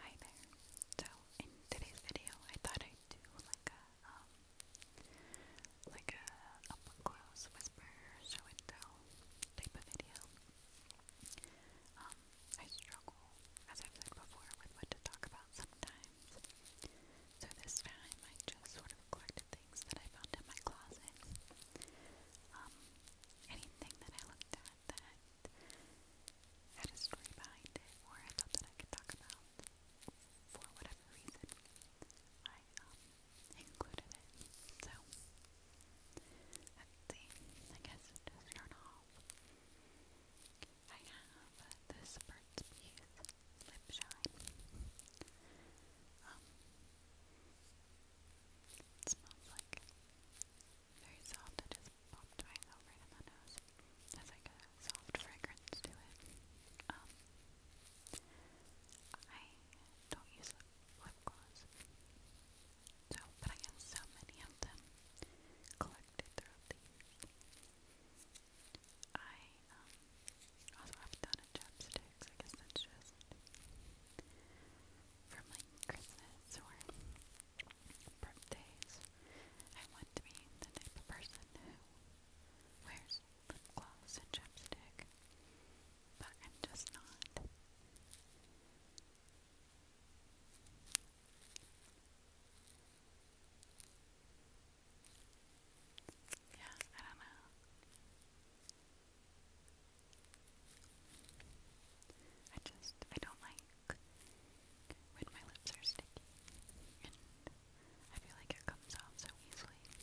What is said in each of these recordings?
Hi there. So in today's video, I thought I'd do like a um, like a up close whisper show and tell type of video. Um, I struggle, as I've said before, with what to talk about sometimes. So this time, I just sort of collected things that I found in my closet. Um, anything that I looked at that that had a story behind it, or I thought that I could talk about for whatever reason. I um, included it. So let's see. I guess to start off, I have this Burt's lip shine. Um, it smells like very soft. It just popped my nose. has like a soft fragrance to it. Um, I don't use lip gloss, so but I have so many of them collected throughout the years. I um, also have a ton I guess that's just from like Christmas or birthdays. I want to be the type of person who wears lip gloss and chapstick, but I'm just not. Yeah, I don't know. I just, I don't like when my lips are sticky, and I feel like it comes off so easily.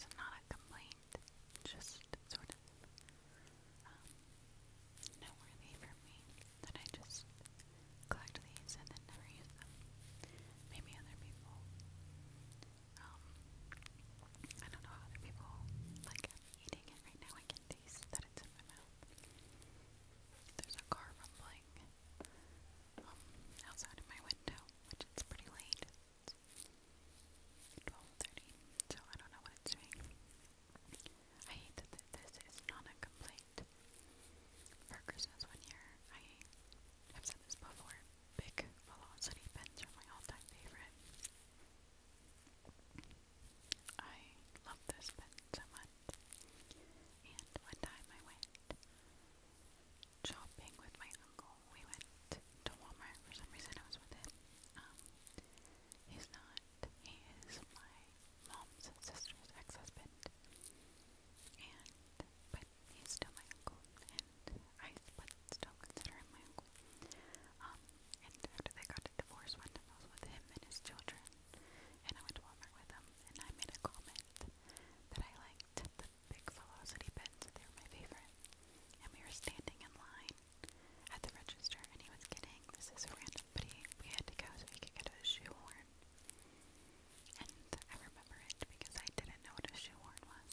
So not a complaint, just sort of um, noteworthy for me that I just collect these and then never use them. Maybe other people, um, I don't know how other people like eating it right now. I can taste that it's in my mouth. There's a car rumbling um, outside of my window, which is pretty late. It's 12.30, so I don't know what it's doing. I hate that this is not a complaint. Parker says one year, I have said this before, big velocity pens are my all-time favorite. I love this pen so much. And one time I went shopping with my uncle. We went to Walmart for some reason. I was with him. Um, he's not. He is my mom's sister's ex-husband. And but he's still my uncle, and I still consider him my uncle. Um, and after they got a divorce, one time I was with him and his children, and I went to Walmart with him, and I made a comment that I liked the big velocity pens, they were my favorite. And we were standing in line at the register, and he was getting, this is a random, but he, we had to go so he could get a shoehorn. And I remember it because I didn't know what a shoehorn was.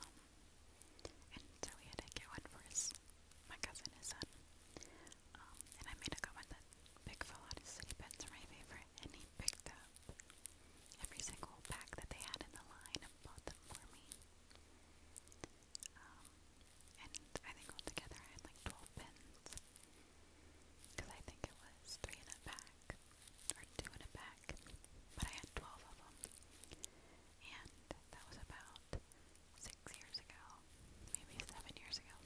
Um, and so we had to get one for his, my cousin, son. Um, and I made a comment that Big Fallout City Pets are my favorite, and he picked up every single pack that they had in the line and bought them for me. Um, and I think altogether I had like 12 pins, because I think it was three in a pack, or two in a pack, but I had 12 of them. And that was about 60 six years ago, maybe seven years ago.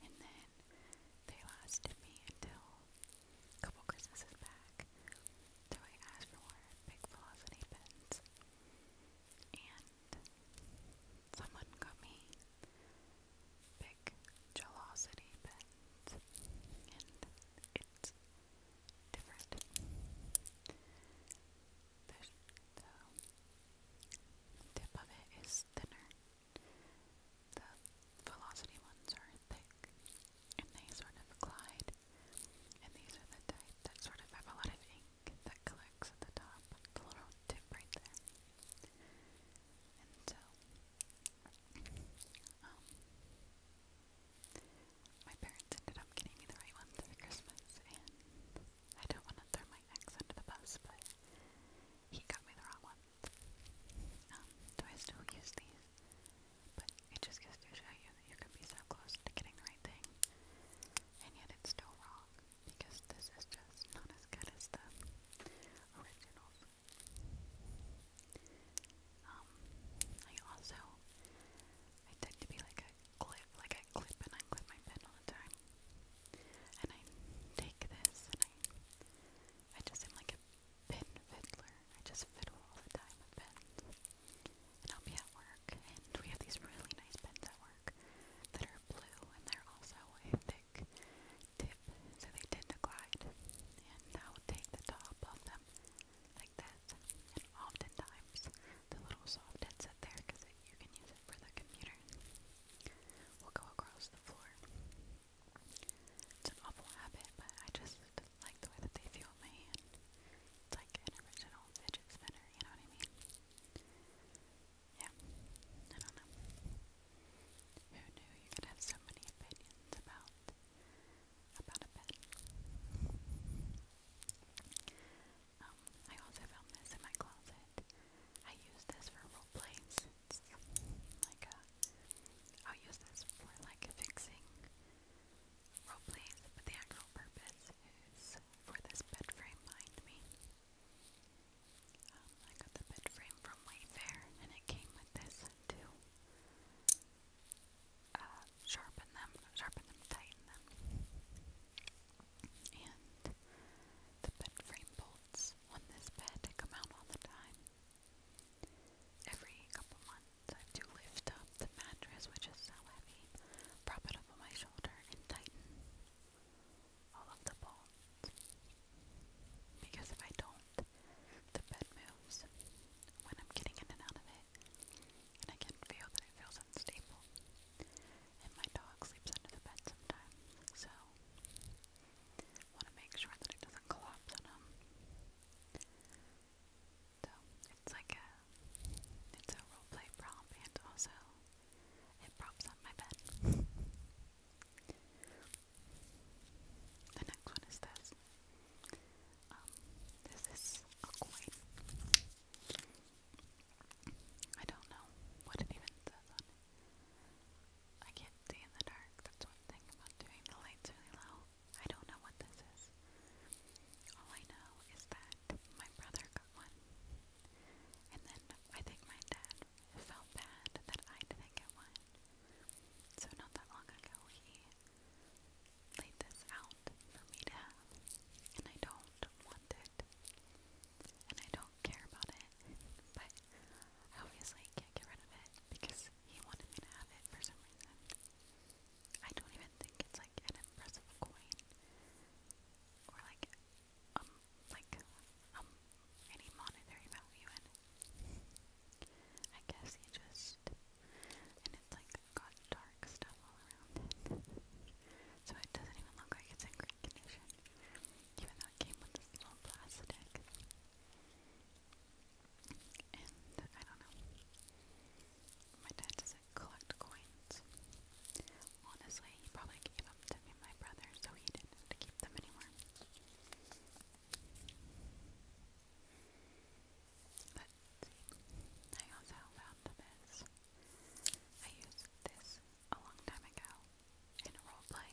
And then they lasted me until a couple Christmases back. So I asked for more big velocity pens. And someone got me big velocity pens. And it's different the, the tip of it is thinner. The velocity ones are thick and they sort of glide. And these are the type that sort of have a lot of ink that collects at the top, the little tip right there. And so, um, my parents ended up getting me the right ones for Christmas, and I don't want to throw my ex under the bus, but he got me the wrong ones. Um, do I still use these? But it just goes to show you that you can be so close to getting the right thing, and yet it's still wrong, because this is just not as good as the originals. Um, I also I tend to be like a clip, like I clip and unclip my pen all the time. And I take this and I, I just am like a pen fiddler. I just fiddle all the time with pens. And I'll be at work, and we have these really nice pens at work that are blue, and they're also a thick tip, so they tend to glide. And I'll take the top of them like this. And oftentimes, the little soft headset there, because you can use it for the computer, will go across the floor. It's an awful habit, but I just like the way that they feel in my hand. It's like an original fidget spinner, you know what I mean? Yeah, I don't know. Who knew you could have so many opinions about about a pen? Um, I also found this in my closet. I use this for role plays. It's like a, uh, I'll use this for like fixing role plays, but the actual purpose is for this bed frame behind me. Um, I got the bed frame from Wayfair, and it came with this too. Uh, sharpen them, sharpen them, tighten them. And the bed frame bolts on this bed come out all the time. Every couple months, I have to lift up the mattress, which is so heavy, prop it up on my shoulder, and tighten all of the bolts. Because if I don't, the bed moves when I'm getting in and out of it and I can feel that it feels unstable. And my dog sleeps under the bed sometimes, so want to make sure that it doesn't collapse on him. So it's like a it's a role play and also it props up my bed. The next one is this. Um, this is a coin. I don't know what it even I can't see in the dark. That's one thing about doing the lights really low. I don't know what this is. All I know is that my brother got one. And then I think my dad felt bad that I didn't get one. So not that long ago, he laid this out for me to have, and I don't want it, and I don't care about it, but I obviously can't get rid of it because he wanted me to have it for some reason. I don't even think it's like an impressive coin or like um like um any monetary value I guess you just and it's like got dark stuff all around it. so it doesn't even look like it's in great condition. Even though it came with this little plastic. And I don't know. My dad doesn't collect coins. Honestly, he probably gave them to me and my brother, so he didn't have to keep them anymore. But I also found this I used this a long time ago in a roleplay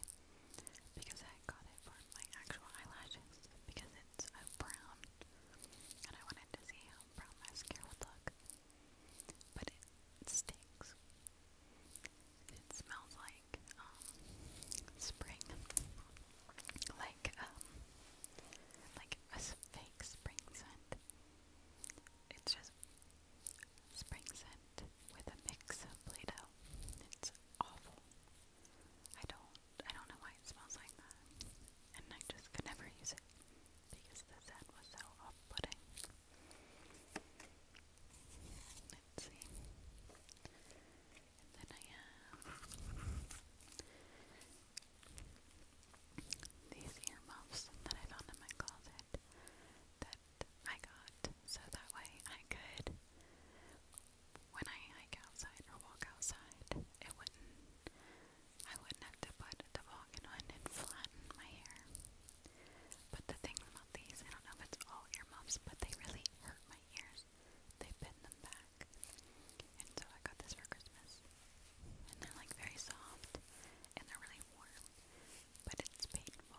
because I got it for my actual eyelashes because it's a brown and I wanted to see how brown mascara would look. But it stinks. It smells like um, spring. Like um like a fake spring scent. It's just spring scent with a mix of Play-Doh. It's awful. I don't I don't know why it smells like that. And I just could never use it because the scent was so off-putting. Let's see. then I have these earmuffs that I found in my closet that I got so that way I could, when I hike outside or walk outside, it wouldn't, I wouldn't have to put the walking on and flatten my hair. But the thing about these, I don't know if it's all earmuffs, but they really hurt my ears. They pin them back. And so I got this for Christmas and they're like very soft and they're really warm, but it's painful.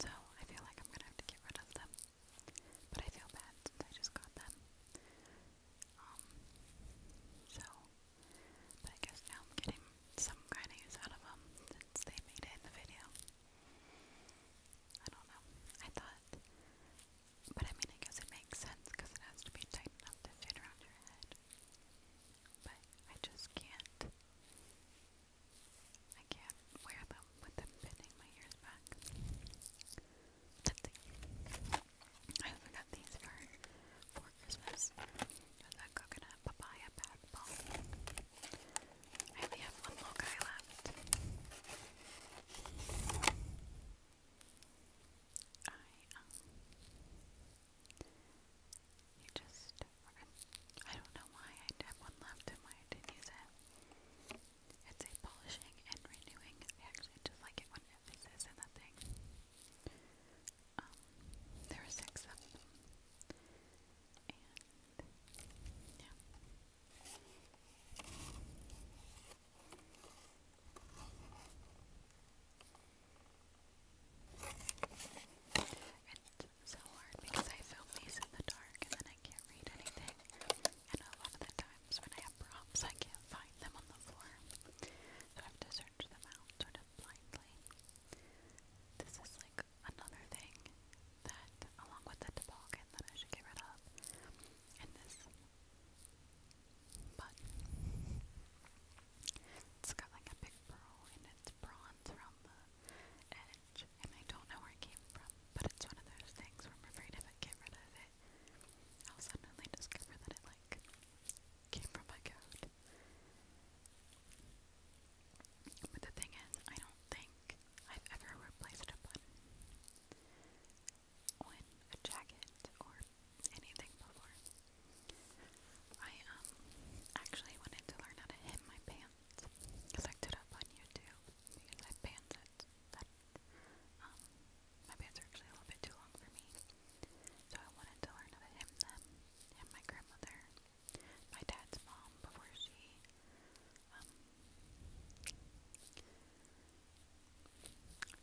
So I feel like I'm gonna have to get rid of them. But I feel bad since I just got them. Um so but I guess now I'm getting some kind of use out of them since they made it in the video. I don't know. I thought but I mean I guess it makes sense because it has to be tight enough to fit around your head but I just can't. I can't wear them with them bending my ears back. I also got these for for Christmas. With a coconut papaya bad ball. I only have one little guy left. Um, you just, I don't know why I have one left and why I didn't use it. It's a polishing and renewing. I actually just like it when it is in that thing. Um, there are six of them. And, yeah. I it's so hard because I film these in the dark and then I can't read anything. And a lot of the times when I have prompts, I can't find them on the floor. So I have to search them out sort of blindly. This is like another thing that, along with the toboggan that I should get rid of, and this but it's got like a big pearl and it's bronze around the edge. And I don't know where it came from, but it's one of those things where if I get rid of it, I'll suddenly discover that it like came from my coat. But the thing is, I don't think I've ever replaced a button on a jacket or anything before. I um actually wanted to learn how to hem my pants. I looked it up on YouTube because I pants that, um my pants are actually a little bit too long for me. So I wanted to learn how to hem them. And my grandmother, my dad's mom before she um,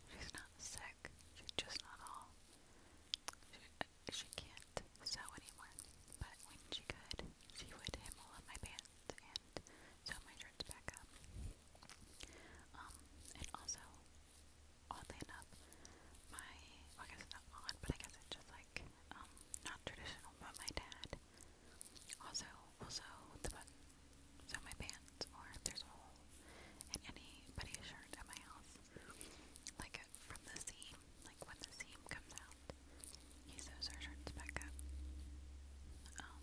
She's not sick. She's just not all she can't sew anymore, but when she could, she would hem all of my pants and sew my shirts back up. Um, and also, oddly enough, my, well, I guess it's not odd, but I guess it's just like, um, not traditional, but my dad also will sew the button, sew my pants, or if there's a hole in anybody's shirt at my house, like from the seam, like when the seam comes out, he sews our shirts back up. Um,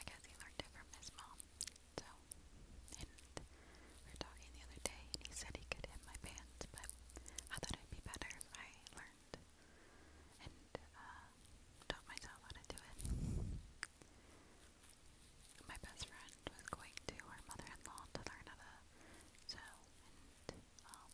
I guess he learned it from his mom. So, we were talking the other day, and he said he could hem my pants, but I thought it'd be better if I learned and uh, taught myself how to do it. My best friend was going to her mother-in-law to learn how to um,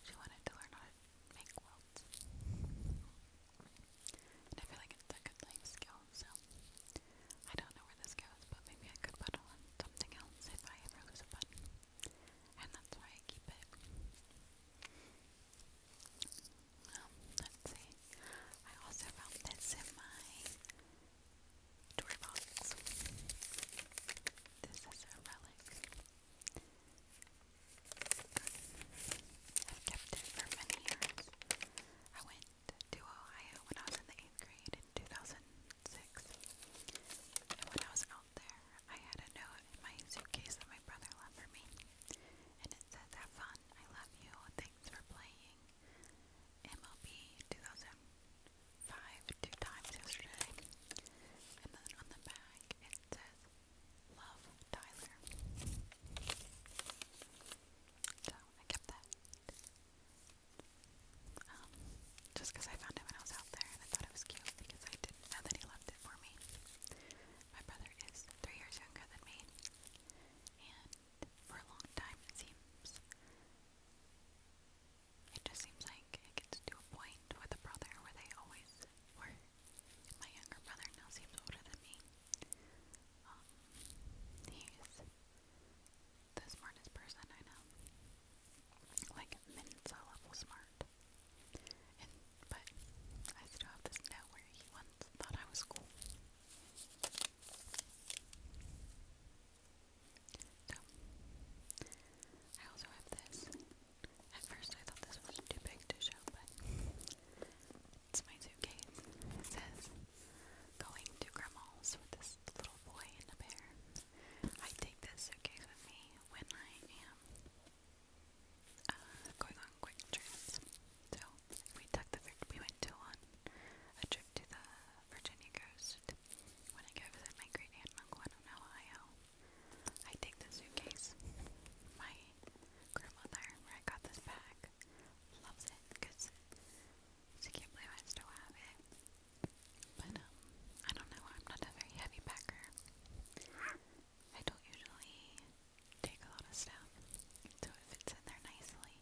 she wanted to learn how to make quilts. And I feel like it's a good life skill, so I don't know where this goes, but maybe I could put on something else if I ever lose a button. And that's why I keep it. Um, let's see. I also found this in my toy box. This is a relic. I've kept it for many years. I went to Ohio when I was in the 8th grade in 2006. And when I was out there, I had a note in my suitcase that my brother left for me. And it says, have fun, John, I love you. Thanks for playing MLB 2005 two times yesterday. And then on the back it says, Love Tyler. So I kept that. Um, just because I found it when I was out there and I thought it was cute because I didn't know that he loved it for me. My brother is three years younger than me, and for a long time, it seems. It just seems like it gets to a point with a brother where they always were. My younger brother now seems older than me. Um, he's the smartest person I know. Like, Mensa level smart. And but I still have this note where he once thought I was cool. So, I also have this. At first I thought this was too big to show, but it's my suitcase. It says, going to grandma's with this little boy and a bear. I take this suitcase with me when I am uh, going on quick trips. So we took the we went to on a trip to the Virginia coast when I go visit my great aunt uncle in Ohio. I take the suitcase. My grandmother, where I got this bag, loves it because she can't believe I still have it. But um, I don't know. I'm not a very heavy packer. I don't usually take a lot of stuff, so it fits in there nicely.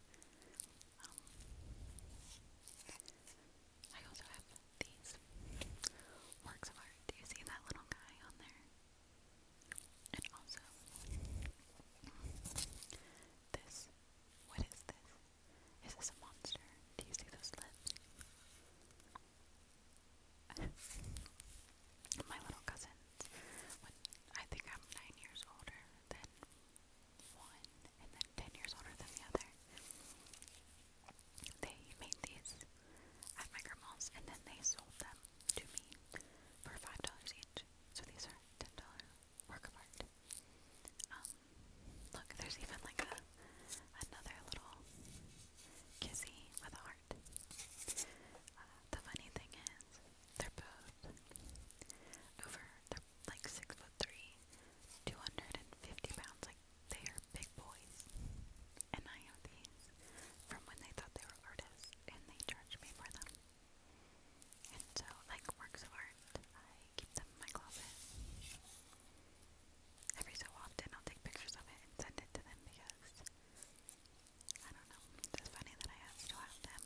Um, I also have these works of art. Do you see that little guy on there? And also, this. What is this? Is this a monster? Do you see those lips? My little cousin kids when I think I'm nine years older than one and then ten years older than the other. They made these at my grandma's and then they sold them to me for five dollars each. So these are ten dollar work of art. Um, look there's even like a another little kissy with a heart. Uh, the funny thing is they're both over, they're like six foot three, 250 pounds. Like, they are big boys. And I have these from when they thought they were artists and they charged me for them. And so, like works of art, I keep them in my closet. Every so often, I'll take pictures of it and send it to them because I don't know. It's funny that I have, still have them.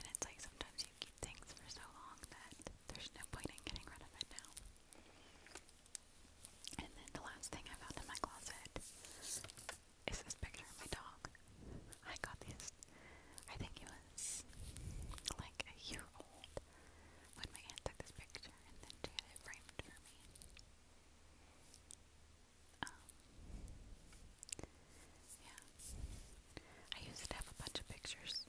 And it's like sometimes you keep things for so long that there's no point in getting rid of it now. And then the last thing I found in my closet is this picture of my dog. I got this, I think he was like a year old when my aunt took this picture and then she had it framed for me. Um, yeah. I used to have a bunch of pictures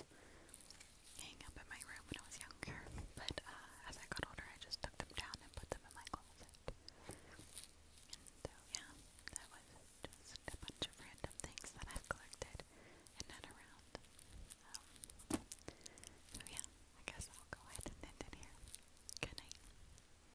hanging up in my room when I was younger, but uh, as I got older, I just took them down and put them in my closet. And so, uh, yeah, that was just a bunch of random things that I've collected and not around. Um, so, yeah, I guess I'll go ahead and end it here. Good night.